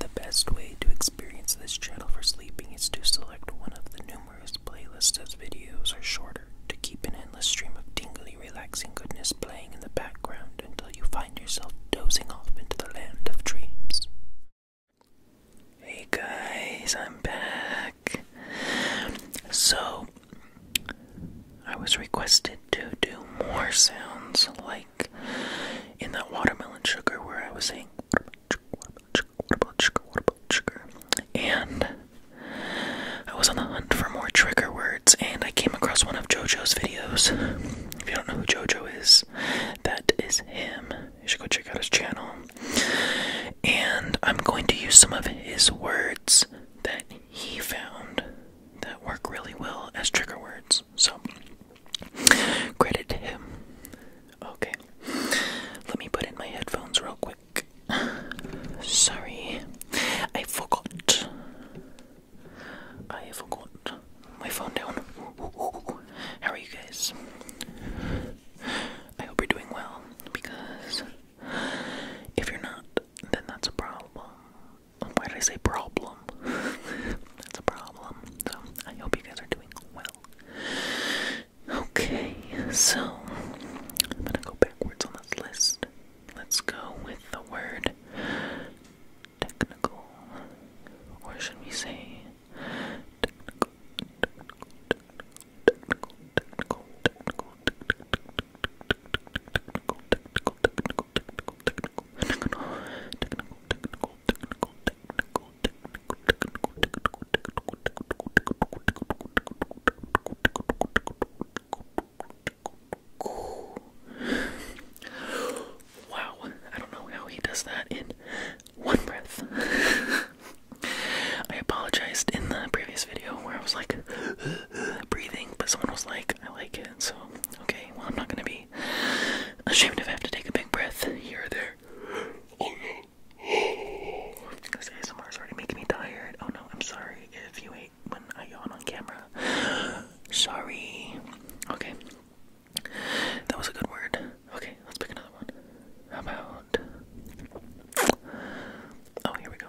The best way to experience this channel for sleeping is to select one of the numerous playlists as videos are shorter, to keep an endless stream of tingly, relaxing goodness playing in the background until you find yourself dozing off into the land of dreams. Hey guys, I'm back. So, I was requested to do more sounds like in that watermelon sugar where I was saying what about sugar, what about sugar, what about sugar, what about sugar? And I was on the hunt for more trigger words and I came across one of JoJo's videos. If you don't know who JoJo is, that is him. You should go check out his channel. And I'm going to use some of his words that he found that work really well as trigger words. So, credit to him. Okay, let me put in my headphones real quick. Sorry, I forgot. I forgot my phone down. How are you guys? I hope you're doing well because if you're not, then that's a problem. Why did I say problem? that's a problem. So I hope you guys are doing well. Okay, so I'm gonna go backwards on this list. Let's go with the word technical, or should we say technical, Wow, I don't know how he does that in one breath. I apologized in the previous video where I was like, breathing, but someone was like, I like it, so okay, well, I'm not gonna be ashamed if I have to take a big breath here or there. Because oh, ASMR is already making me tired. Oh no, I'm sorry if you hate when I yawn on camera. sorry. Okay. That was a good word. Okay, let's pick another one. about. Oh, here we go.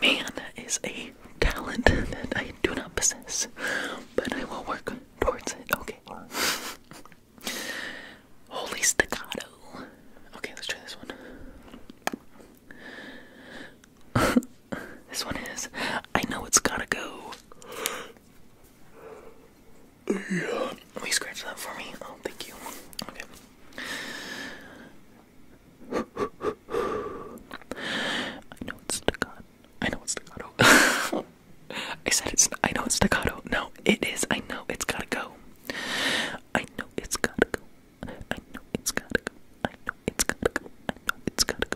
Man is a talent that I do not possess, but I will work towards it. Okay. Holy staccato. Okay, let's try this one. this one is I know it's gotta go. Yeah. Will scratch that for me? Oh, thank you. Okay. I know it's staccato. I know it's staccato. I said it's. I know it's staccato. No, it is. I know it's gotta go. I know it's gotta go. I know it's gotta go. I know it's gotta go. I know it's gotta go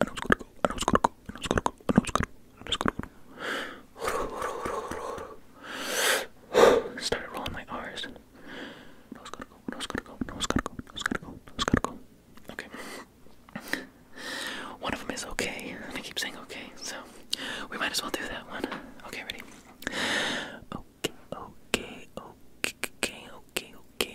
I know it's gonna go, I know it's gonna go, I know it's gonna go, I know it's gonna go, I know it's gonna go. Started rolling my R's. I know it's gonna go, I know it's gonna go, I know it's gonna go, I know it's gonna go, I know it's gonna go. Okay. One of them is okay. I keep saying okay, so we might as well do that one. Okay, ready? Okay, okay, okay, okay, okay, okay,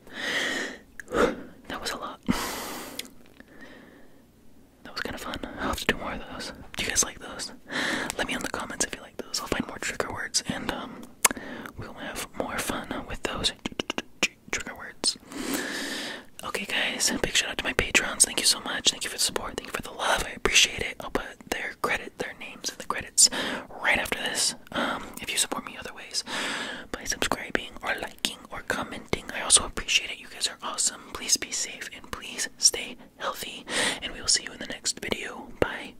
that was a lot. That was kind of fun. I'll have to do more of those. Do you guys like those? Let me know in the comments if you like those. I'll find more trigger words and um, we'll have more fun with those trigger words. Okay, guys, big shout out to my patrons. Thank you so much. Thank you for the support. Thank you for the love. I appreciate it. I'll put their credit, their names in the credits right after this. Um, if you support me other ways by subscribing or liking or commenting. I also appreciate it. You guys are awesome. Please be safe and please stay healthy. And we will see you in the next video. Bye.